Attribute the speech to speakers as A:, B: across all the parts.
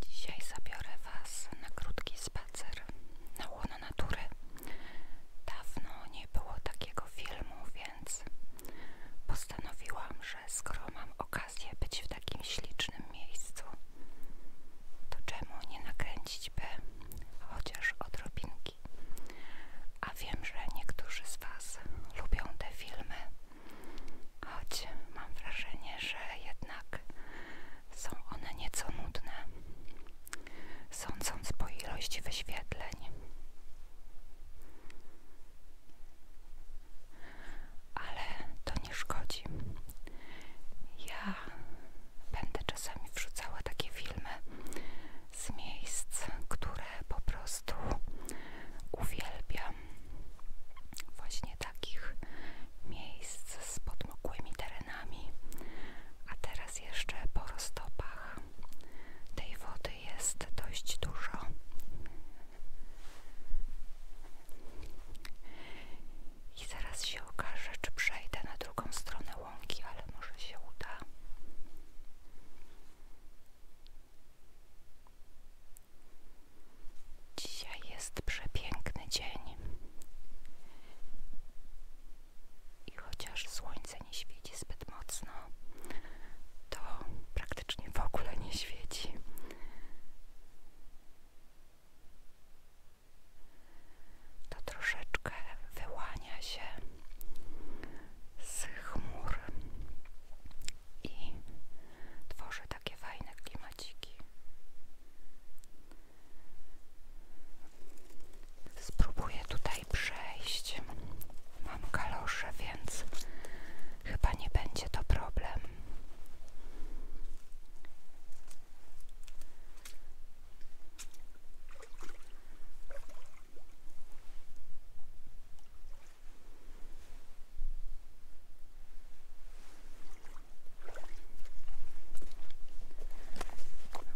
A: Dzisiaj zabiorę Was na krótki spacer na łono natury. Dawno nie było takiego filmu, więc postanowiłam, że skoro mam okazję być w takim ślicznym miejscu, to czemu nie nakręcić by chociaż odrobinki a wiem, że niektórzy z Was lubią te filmy, choć mam wrażenie, że jednak są one nieco nudne, sądząc po ilości wyświetleń. Ale to nie szkodzi. Ja będę czasami wrzucała takie filmy, z miejsc, które po prostu uwielbiam. Właśnie takich miejsc z podmokłymi terenami. A teraz jeszcze po roztopach tej wody jest dość dużo. I zaraz się okaże, czy przejdę na drugą stronę łąki, ale może się uda. Dzisiaj jest przepiękny dzień. I chociaż słońce nie świeci zbyt mocno, to praktycznie w ogóle nie świeci. To troszeczkę wyłania się z chmur i tworzy takie fajne klimaciki. Spróbuję tutaj przejść. Mam kalosze, więc chyba nie będzie to problem.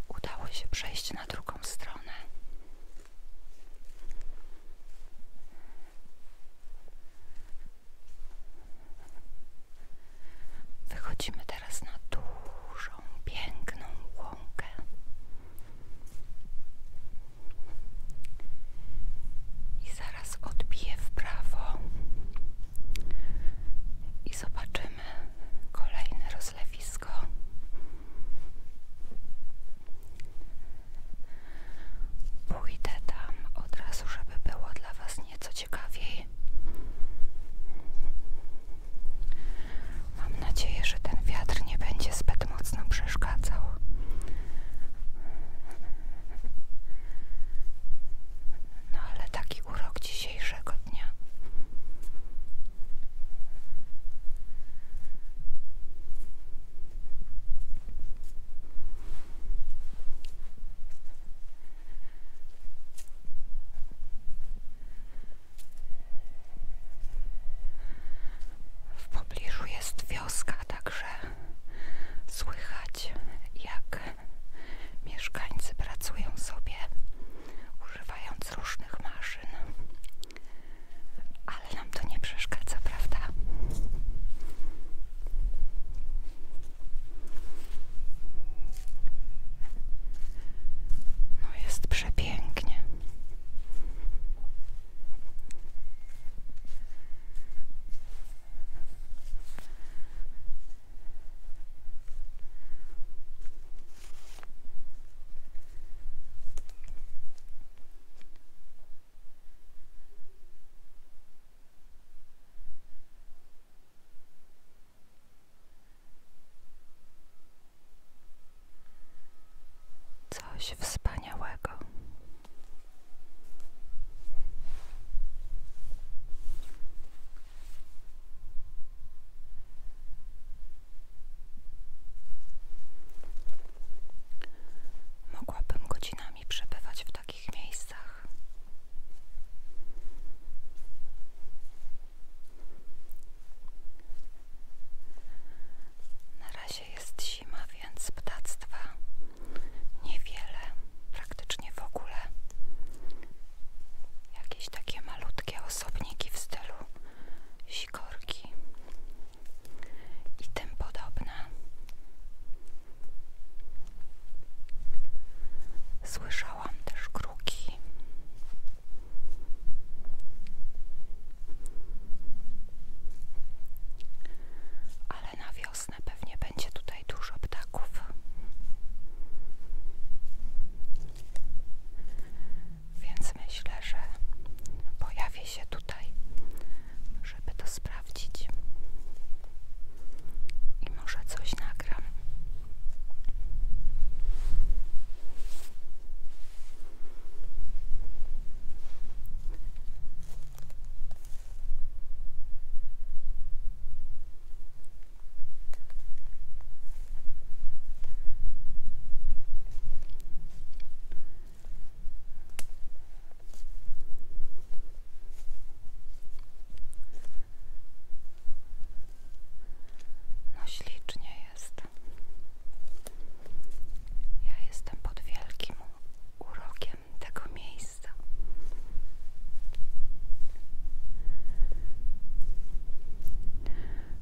A: Udało się przejść na drugą stronę. Wychodzimy teraz na dużą, piękną łąkę. I zaraz odbiję w prawo i zobaczymy kolejne rozlewisko. Pójdę tam od razu, żeby było dla Was nieco ciekawiej. Mam nadzieję, że ten wiatr nie będzie zbyt mocno przeszkadzał. No ale taki urok dzisiejszego dnia. W pobliżu jest wioska, także słychać jak mieszkańcy pracują sobie używając różnych maszyn. Ale nam to nie przeszkadza, prawda? No jest przepięknie. Coś wspaniałego. Mogłabym godzinami przebywać w takich miejscach. Na razie jest zima, więc ptactwa niewiele, praktycznie w ogóle. Jakieś takie malutkie osobniki w stylu sikorki i tym Słyszałam też kruki. Ale na wiosnę pewnie będzie tutaj dużo ptaków. Więc myślę, że pojawi się tutaj, żeby to sprawdzić i może coś nagram. No ślicznie jest. Ja jestem pod wielkim urokiem tego miejsca.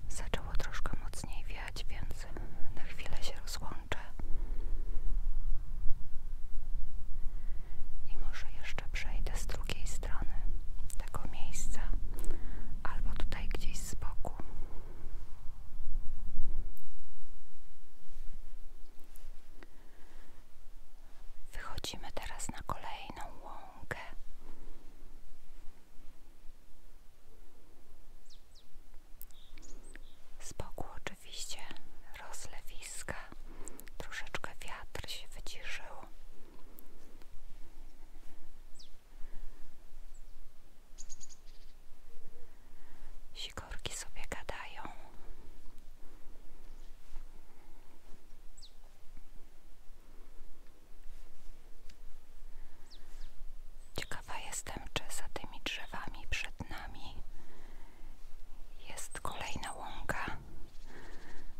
A: Zaczęło troszkę mocniej wiać, więc na chwilę się rozłączę. I może jeszcze jeszcze przejdę z drugiej strony tego miejsca albo tutaj gdzieś z boku. Wychodzimy teraz na kolejną łąkę. Z boku oczywiście oczywiście rozlewiska, troszeczkę wiatr się wyciszył. Sikorki sobie gadają. Ciekawa jestem, czy za tymi drzewami przed nami jest kolejna łąka.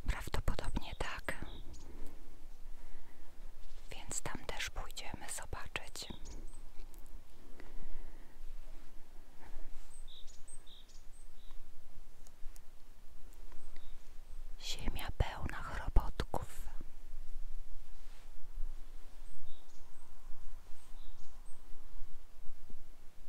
A: Prawdopodobnie tak. Więc tam też pójdziemy zobaczyć. Ziemia pełna chrobotków.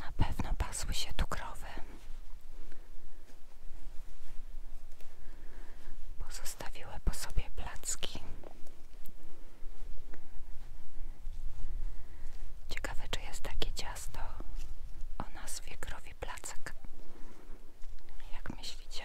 A: Na pewno pasły się tu krowy. Pozostawiły po sobie placki. Ciekawe, czy jest takie ciasto o nazwie krowi placek. Jak myślicie?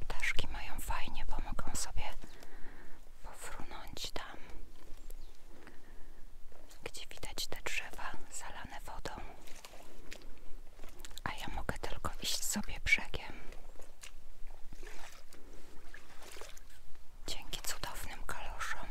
A: Ptaszki mają fajnie, bo mogą sobie pofrunąć tam, gdzie widać te drzewa zalane wodą a ja mogę tylko iść sobie brzegiem. Dzięki cudownym kaloszom.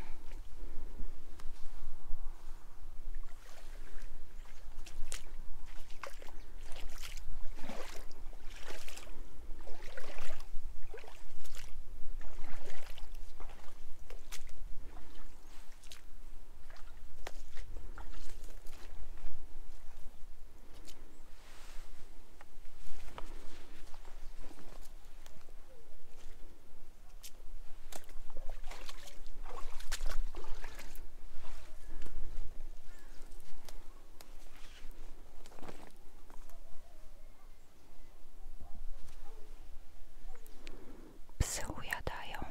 A: Psy ujadają.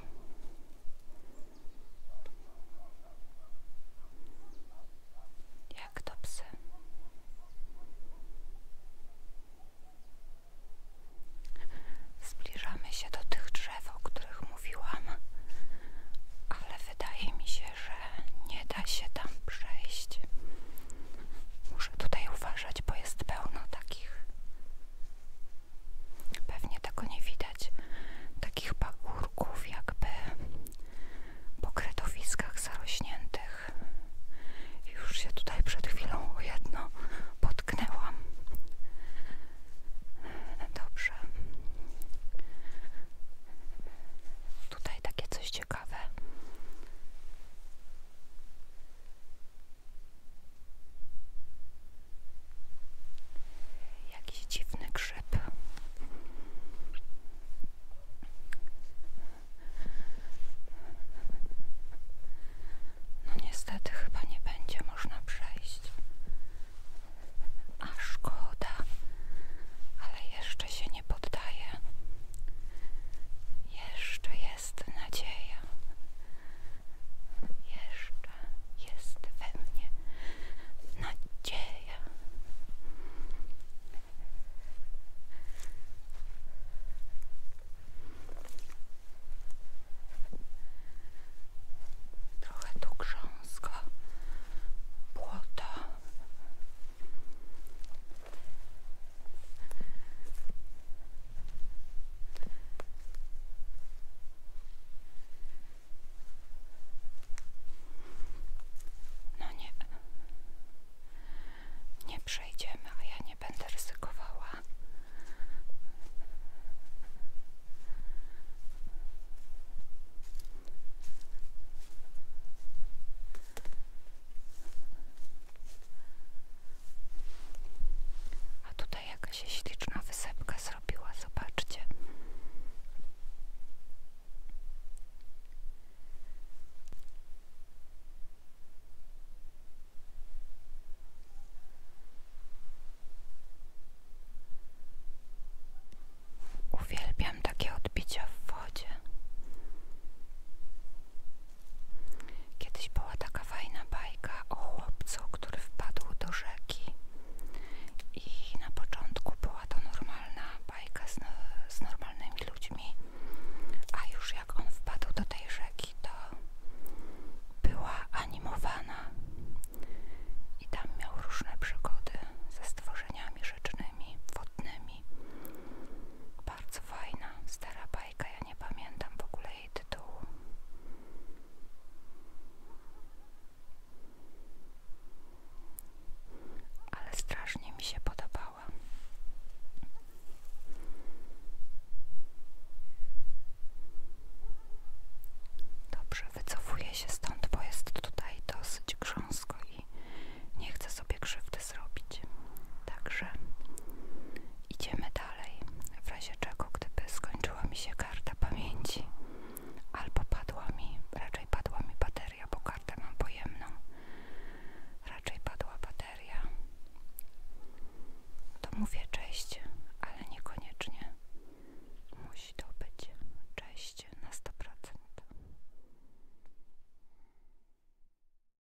A: Jak to psy. Zbliżamy się do tych drzew, o których mówiłam, ale wydaje mi się, że nie da się tam przejść. Muszę tutaj uważać, bo jest pełno takich Pewnie tego nie widać. Takich pagórków jakby po kredowiskach zarośniętych. Już się tutaj przed chwilą o jedno potknęłam. Dobrze. Tutaj takie coś ciekawe. Jakiś dziwny grzyb. No niestety chyba nie będzie można przejść. A szkoda, ale jeszcze się nie poddaje. Jeszcze jest nadzieja. Jeszcze jest we mnie nadzieja. Trochę tu grząsko, błoto. No nie. Nie przejdziemy, a ja nie będę ryzykowała. A tutaj jakaś się śliczna wysepka zrobiła, zobaczcie. Uwielbiam takie odbicia w wodzie. Kiedyś była taka fajna bajka o chłopcu, który wpadł do rzeki. I na początku była to normalna bajka no, z, normalnymi ludźmi, a już jak on wpadł do tej rzeki, to była animowana i tam miał różne przygody ze stworzeniami rzecznymi, wodnymi. Bardzo fajna, stara bajka, ja nie pamiętam w ogóle jej ale strasznie mi się podobała. Dobrze, wycofuję się stąd, bo jest tutaj dosyć grząsko i nie chcę sobie krzywdy zrobić. Także idziemy dalej. W razie czego, gdyby skończyła mi się karta pamięci, albo padła mi, raczej padła mi bateria, bo kartę mam pojemną. Raczej padła bateria. To mówię cześć, ale niekoniecznie. Musi to być cześć na 100%.